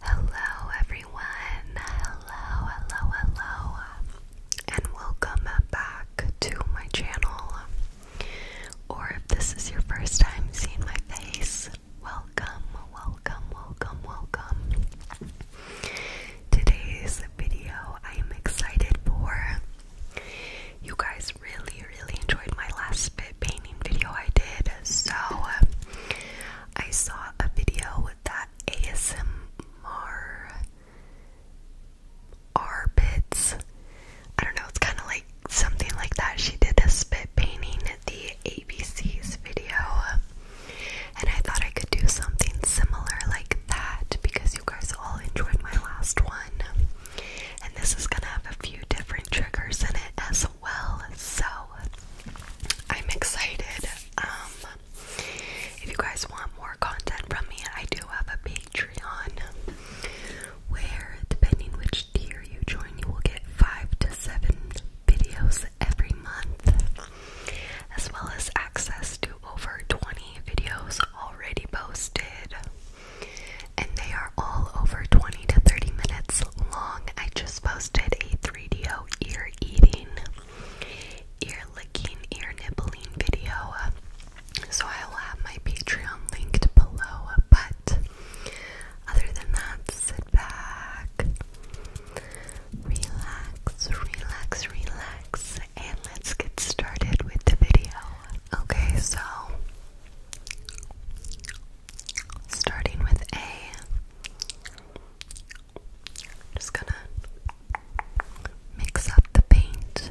Hello, everyone. Hello, hello, hello, and welcome back to my channel. Or if this is your first time seeing my face, welcome, welcome, welcome, welcome today's video. I am excited for you guys really really enjoyed my last spit painting video I did. So I saw a video with that ASMR R bits. I don't know, it's kinda like something like that. She did a spit painting the ABC's video. And I thought I could do something similar like that because you guys all enjoyed my last one. And this is gonna have a few different triggers in it as well. So I'm excited. Um if you guys want more content from me, I do have a Patreon where depending which tier you join, you will get five to seven videos every month as well as access to over 20 videos already posted. And they are all over 20 to 30 minutes long. I just posted a 3DO ear eating, ear licking, ear nibbling video. So I will have my Patreon linked below. But other than that, back. Relax, relax, relax, and let's get started with the video. Okay, so starting with a, just gonna mix up the paint.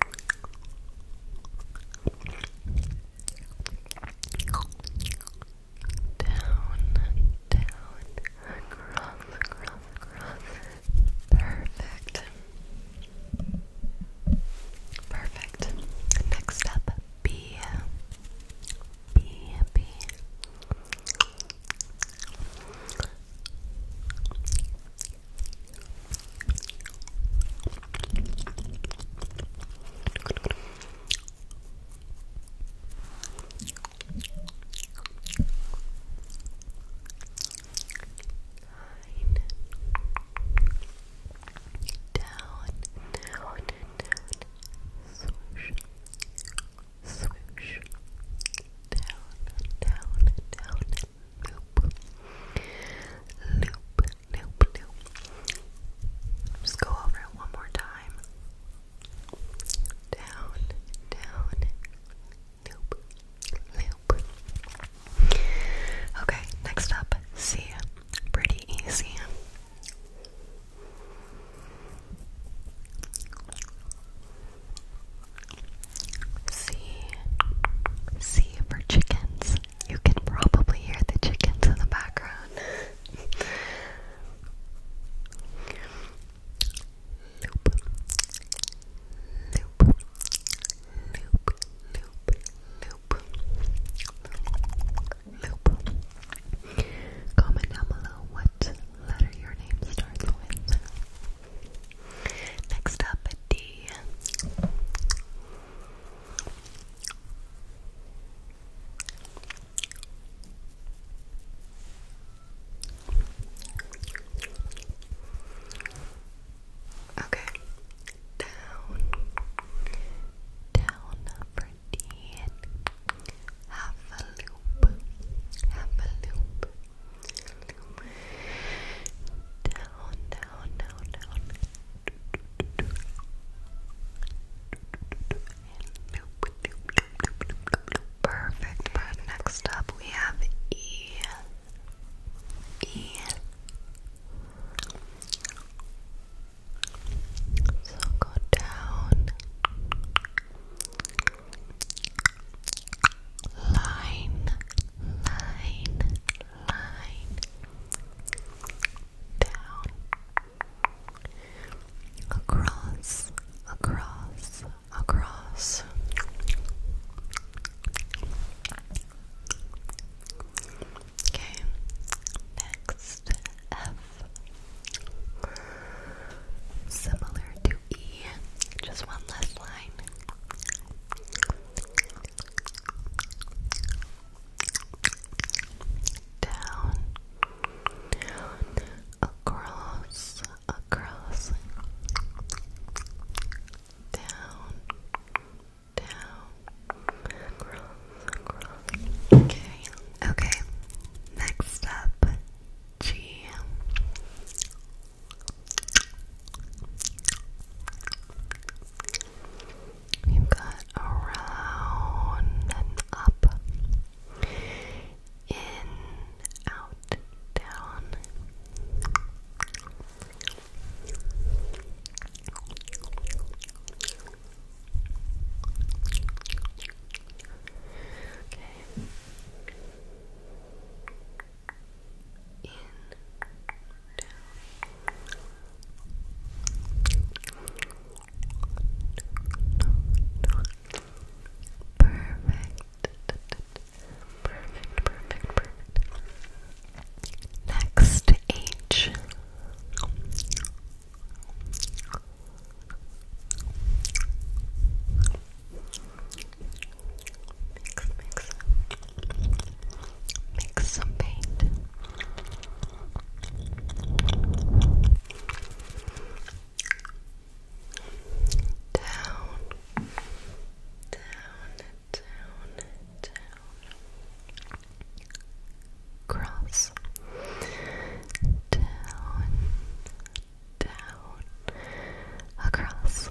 down, across, across, across. Perfect. Perfect. Next up, B. B, B down, swoosh, swoosh, down, down, down, loop, loop, loop, loop. Just go over it one more time. Down, down, loop, loop. Okay, next up, C. Pretty easy. C. C for chickens. You can probably hear the chickens in the background. loop. Loop. Loop. Loop. Loop. Loop. Comment down below what letter your name starts with. Next up, D. Okay, down, down for D. Have a loop, have a loop, down, down, down, down. Perfect. next up we have E. E. So go down. Line, line, line down across across across okay next F similar to E just one less line down, across, across, down, down, across, across. Okay, okay. Next up, G You've got around and up, in, out, down. Okay. Perfect. Perfect, perfect, perfect. Next H. H Mix, mix. Mix some paint. Down, down, down, down. Cross. Down, down, across.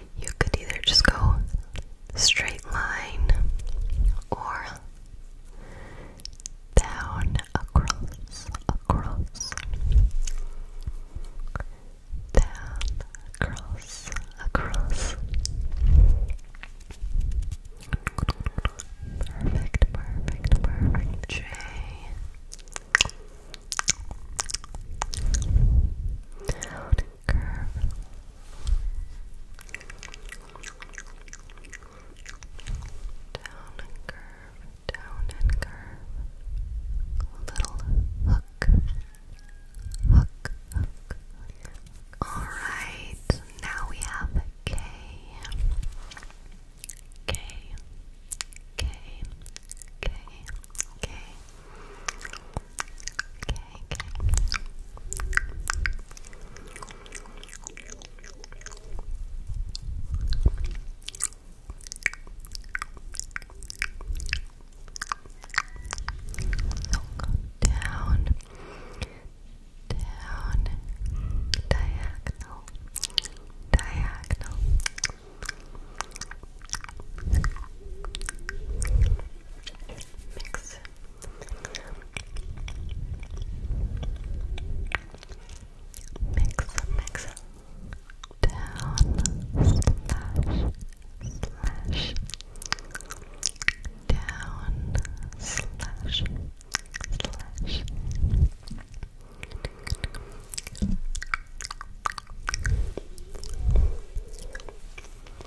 you could either just go straight line or down, across, across, down, across, across. Perfect, perfect, perfect. J curve. Down and curve, down and curve. Little hook, hook, hook. Alright, now we have K. K, K, K, K. So go down, down, diagonal. Diagonal, Mix. Mix, mix. Down, slash, slash. Down, slash, slash. Mix,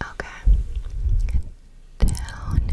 Okay. Down. Out.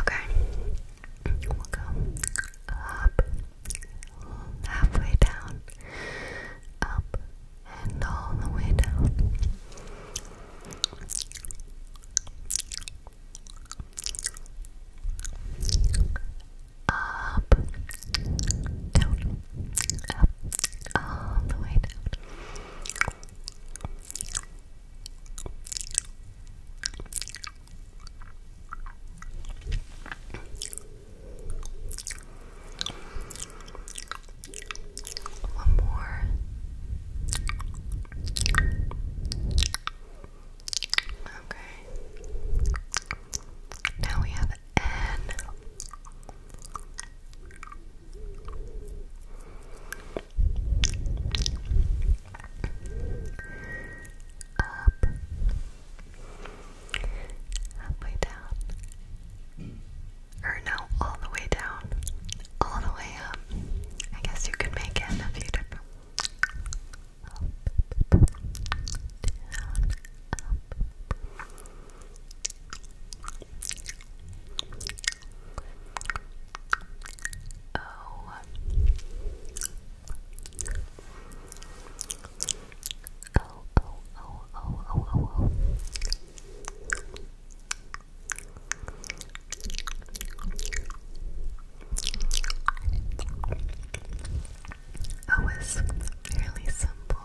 Okay. We'll go up, halfway down, up, and all the way down. Up, down, up, all the way down. One more. Okay. Now we have N up, halfway down, or no, all the way down, all the way up. I guess you could make it a few Oh, O O O O O O O O fairly simple.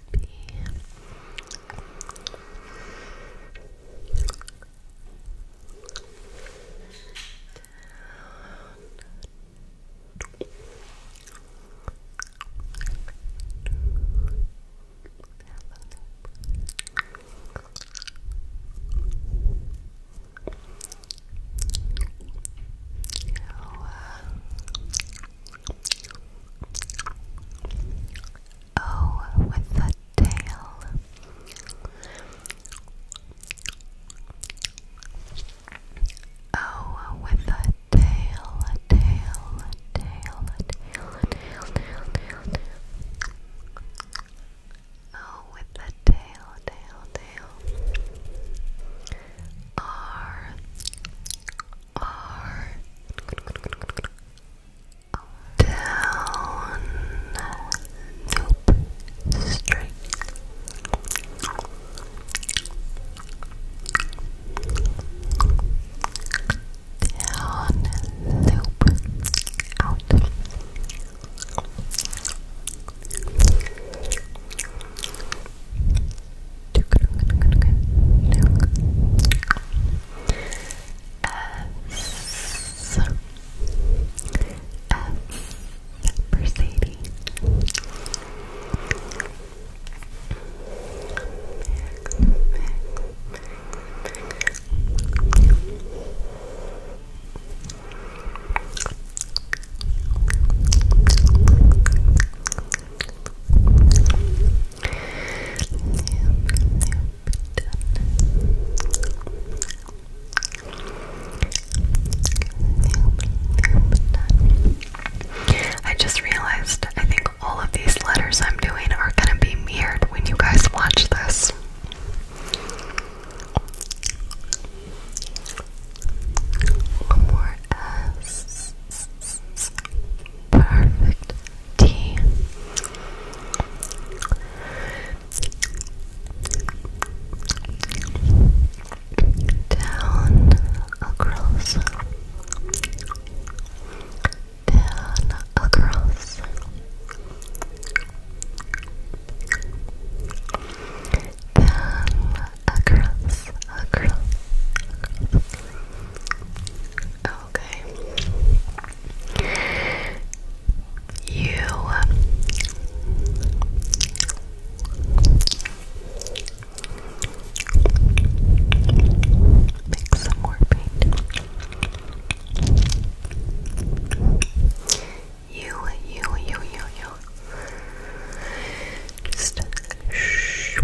happy. Down. Oh, with the tail. O oh, with a tail, a tail, a tail, a oh, with the tail, tail, tail. R are down loop straight down loop out S S Mercedes I just realized I think all of these letters I'm doing are gonna be mirrored when you guys watch this. One more S. Perfect tea. Down across, down across, down across, across, Okay. You make some more paint. You, you, you, you, you. Just shh,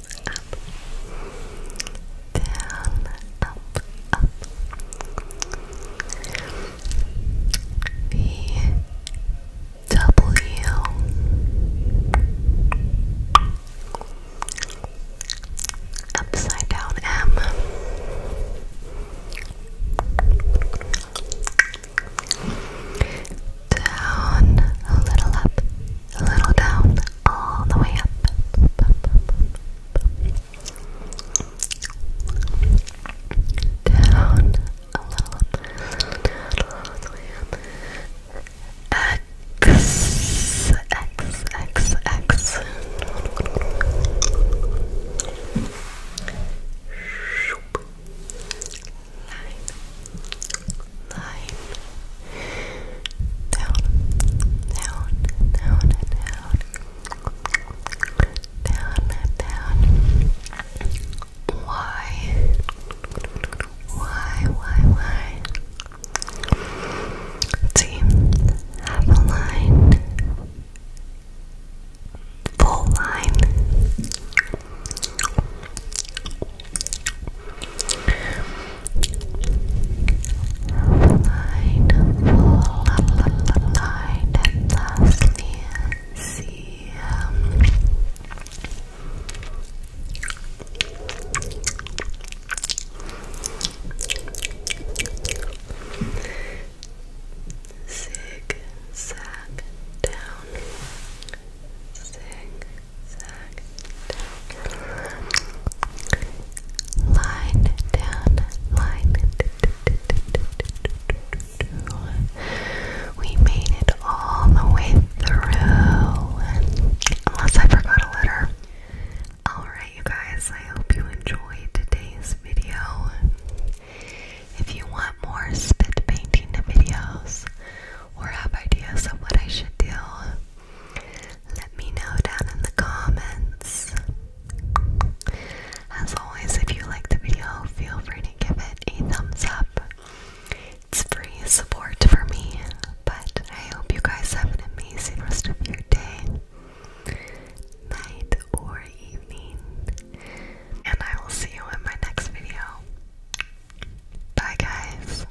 up, down, up, up. The upside down M down a little up a little down all the way up. Down all the way up. X, X, X, X. Nine line down, down, down, down, down, down. Why? Why? Why? Why? Team, have a line, full line. Light, light, and lastly, see. Um, down, zig, Line down, line. We made it all the way through. Unless I forgot a letter. Alright, you guys, I hope you enjoyed today's video. If you want more spit painting videos or have ideas of what I should do, let me know down in the comments. As always, if you like the video, feel free to give it a thumbs up. It's free support for me, but I hope you guys have an amazing rest of your day, night, or evening. And I will see you in my next video. Bye, guys.